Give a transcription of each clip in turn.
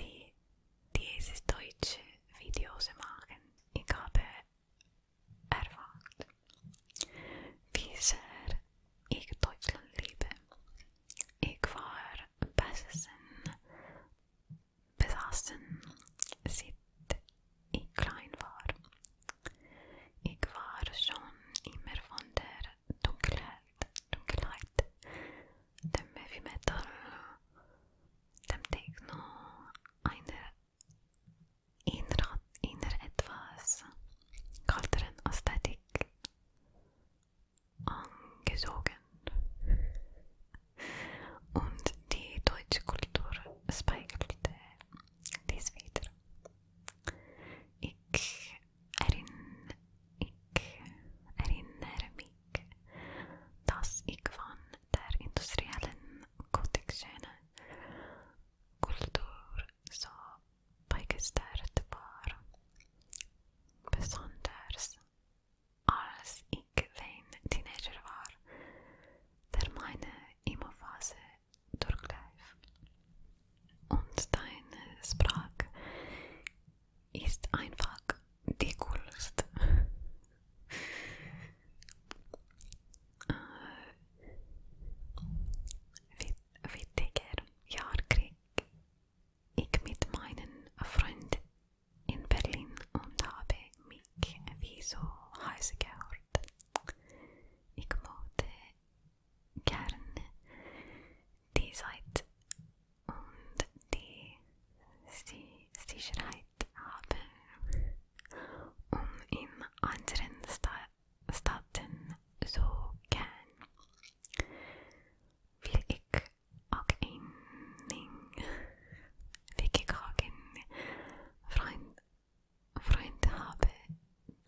die Deutsche Videos machen. Ich habe erfahren, wie sehr ich Deutschland liebe. Ich war besessen, besessen, seit ich klein war. Ich war schon immer von der donc light de heavy metal dem Techno einer inner, inner etwas kälteren Ästhetik angezogen und die deutsche Kultur speichelte dies wieder. Ich, erinn, ich erinnere mich tas ikvan där industriellen kotexkönen kultur så pajkestärd var besonders als ik vein teenager var der meine Emo-Phase durchlief. Und ist einfach die coolste. äh, wittiger Jahrkrieg ich mit meinen Freunden in Berlin und habe mich wie so heiß gehört. Ich mochte gerne die Zeit und die sie Sicherheit haben, um in anderen Sta Staaten zu gehen. Will ich auch einen weggegangen Freund, Freund habe,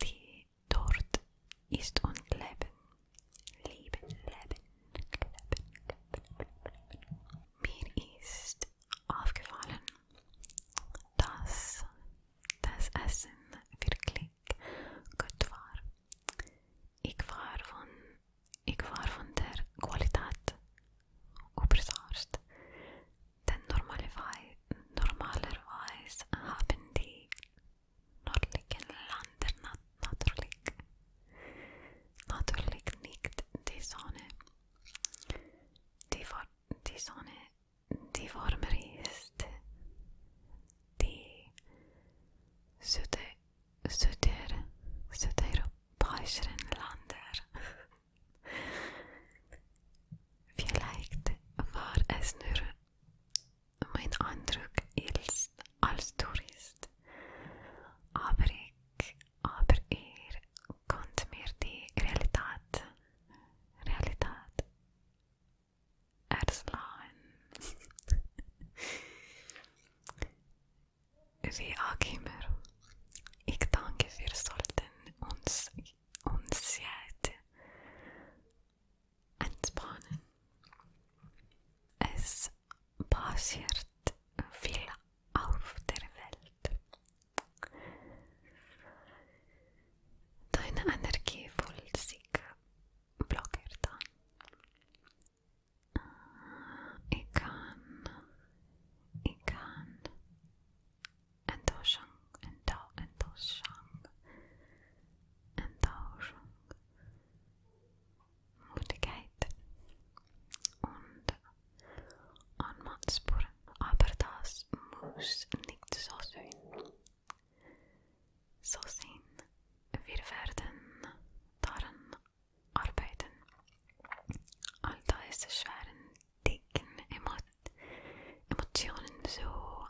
die dort ist und Leben, Leben, Leben. Mir ist aufgefallen, dass das Essen wirklich gut war. Ich war von, ich war von der Qualität überrascht, denn normalerweise, normalerweise haben die Noordelijke landen natuurlijk. Natuurlijk niet de zone. Die, voor, die zone die warmer is, die Zuid-Europese landen. Vielleicht war es nur mijn indruk is als toerist. Aber ik, aber er kunt meer die realiteit, realiteit erslaan. Wie ook ik dank je, we zullen ons, ons entspannen. Es passiert viel auf der Welt. Deine Energie fühlt sich blockiert an. Ich kann, ich kann Enttäuschung, Enttäuschung, Enttäuschung, Mutigkeit und Anmaßspur. Aber das muss nicht so sein. So sein. Wir werden daran arbeiten. All diese schweren, dicken Emo Emotionen so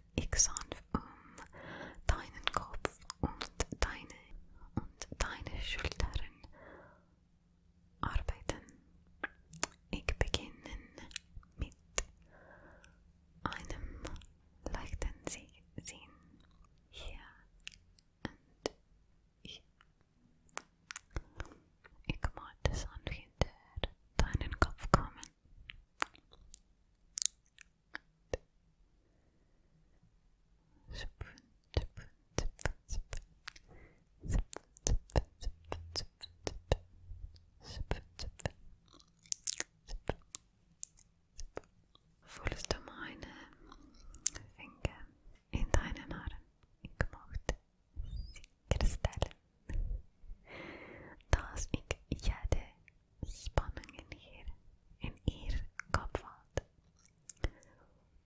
ich um deinen Kopf und deine und deine Schultern arbeiten. Ich beginne mit einem leichten Sinn hier und hier. Ich möchte hinter deinen Kopf kommen. Voelst du meine eh? Finger in deinen Haaren? Ik mocht sie herstellen, dass ich jede spanningen hier en ihr Kopfwand.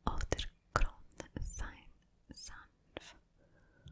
Of der grond zijn sanft kan.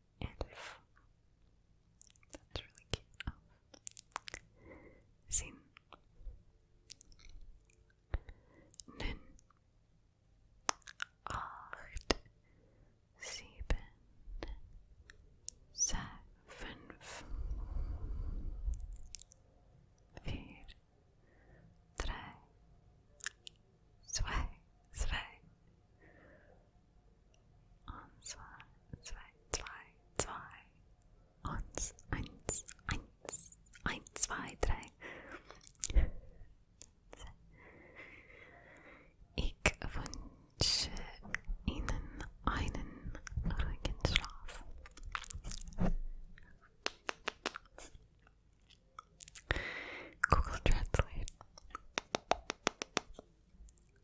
and if that's really cute. Oh. Nun. Acht. Sieben. Sech. Vier. Drei. Zwei. Zwei. Und zwar zwei, zwei, zwei. Und eins, eins, eins, zwei, drei. Ich wünsche Ihnen einen ruhigen Schlaf. Google Translate.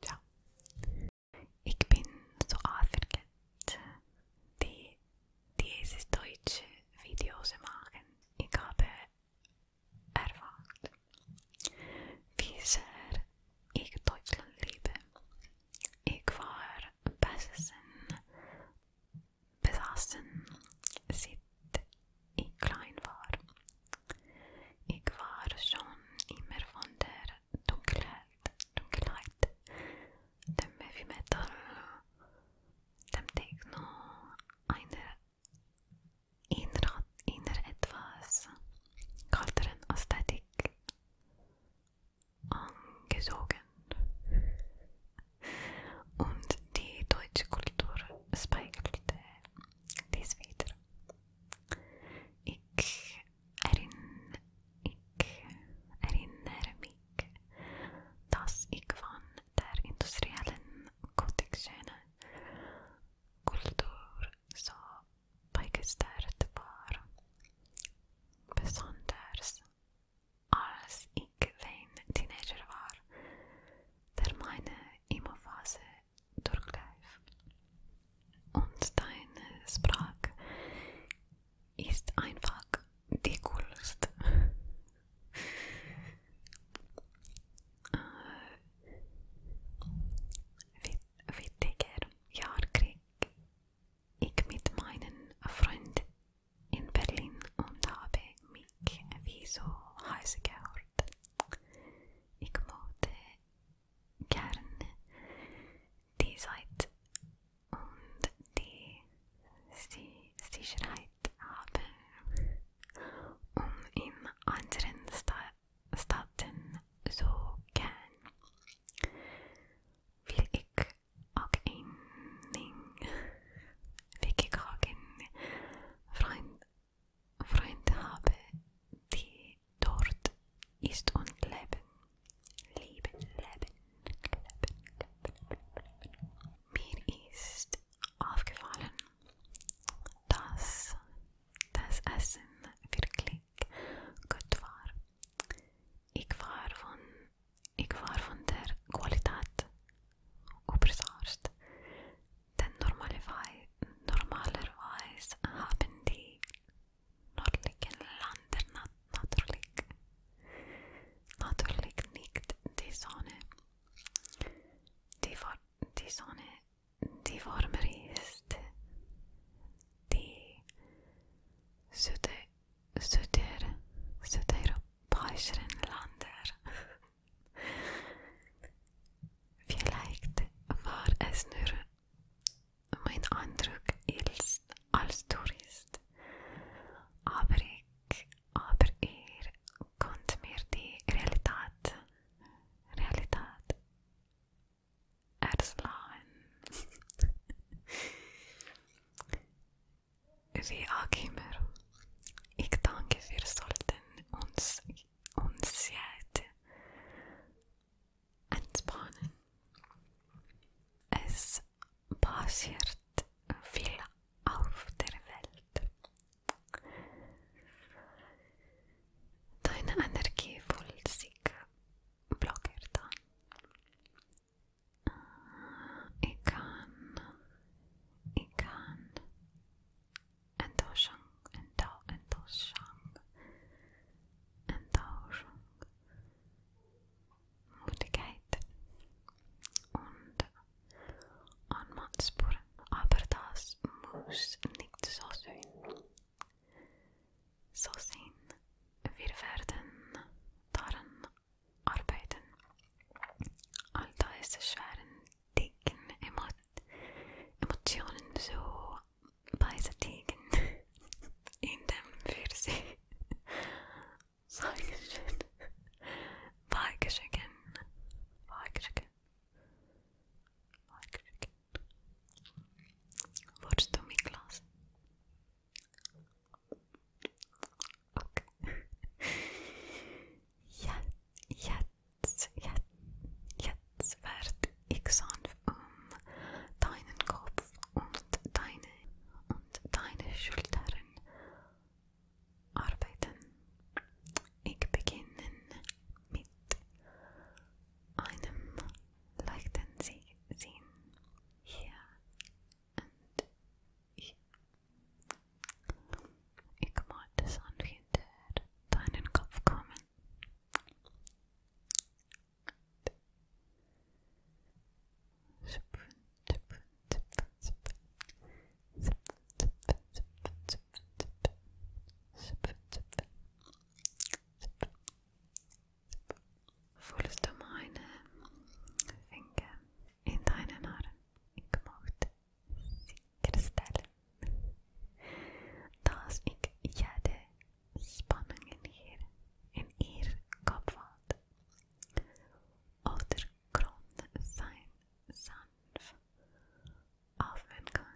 Ciao. Ich bin so die dieses deutsche Videos machen. Ich habe erfahren, wie sehr ich Deutschland liebe. Ich war besessen, ich klein war. Ich war schon immer von der Dunkelheit, Dunkelheit dem Heavy Metal, dem Techno, einer inner, inner etwas kalteren Ästhetik angesogen. Und die deutsche Kultur speigelte Dit is beter. Ik erin, ik herinner me dat ik van de industriële conditionen cultuur zo bijgesteld was. Besonders als ik een teenager was, termijnen mijn fase durchgreif. Und deine Sprache ist einfach die coolste. Äh, wittiger Jahr krieg ich mit meinen Freunden in Berlin und habe mich wie so heiß gehört. Ik mocht gerne die Zeit und die Sicherheit haben, um in anderen Staaten zu gehen. Will ik ook één wil ik ook een vriend Freundhabe, die dort ist und leben. Leben, leben, leben, leben, leben. Mir ist das Essen wirklich gut war. Ich war von, ich war von der Qualität überzeugt den normalerweise haben die nördlichen Länder nat natürlich, natürlich nicht die Sonne. Die, die Sonne, die wärmer ist, die südeuropäischen Länder Vielleicht war es nur mein Eindruck als Tourist, aber ich, aber ihr er konnte mir die Realität, Realität erschlagen. Wie auch Ich denke, wir sollten uns, uns jetzt entspannen. Es passiert viel auf der Welt. Deine Energie fühlt sich blockiert eh, an. Ich kann, ich kann, En dozang, en do, en dozang, en dozang. Müdigkeit und Anmannspur. Aber das muss nicht so sein. So sein. Wir werden daran arbeiten. All diese schweren Degen, Emo Emotionen so beiseitigen in dem Pfirsich. Dankeschön. Weigeschicken. Weigeschicken. Weigeschicken. Wurdest du mitgelassen? ok. Jetzt, jetzt, jetzt werd ich sanft um deinen Kopf und deine und deine Schultern arbeiten. Ich beginne mit einem leichten Sinn hier Ich mag das Anwender deinen Kopf kommen. Voelst du meine Finger in deinen Haaren? Ich mochte kristal. Als ik jade spanningen hier in hier kopvalt, ondergrond zijn sanft afmen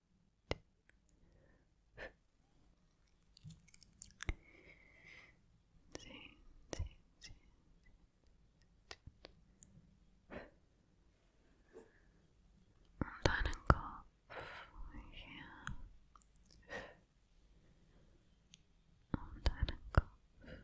um deinen Kopf hier, um deinen Kopf hier.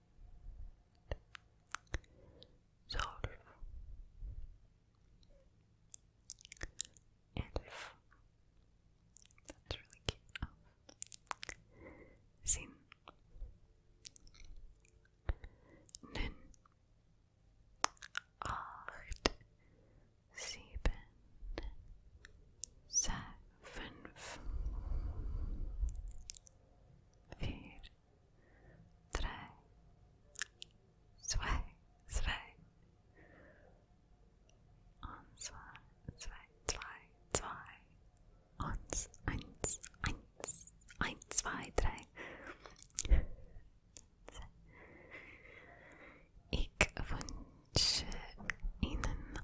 solve and sin nun acht sieben fünf vier, drei, zwei, zwei und zwei, zwei, zwei, zwei eins, eins, eins, zwei, drei. Ich wünsche Ihnen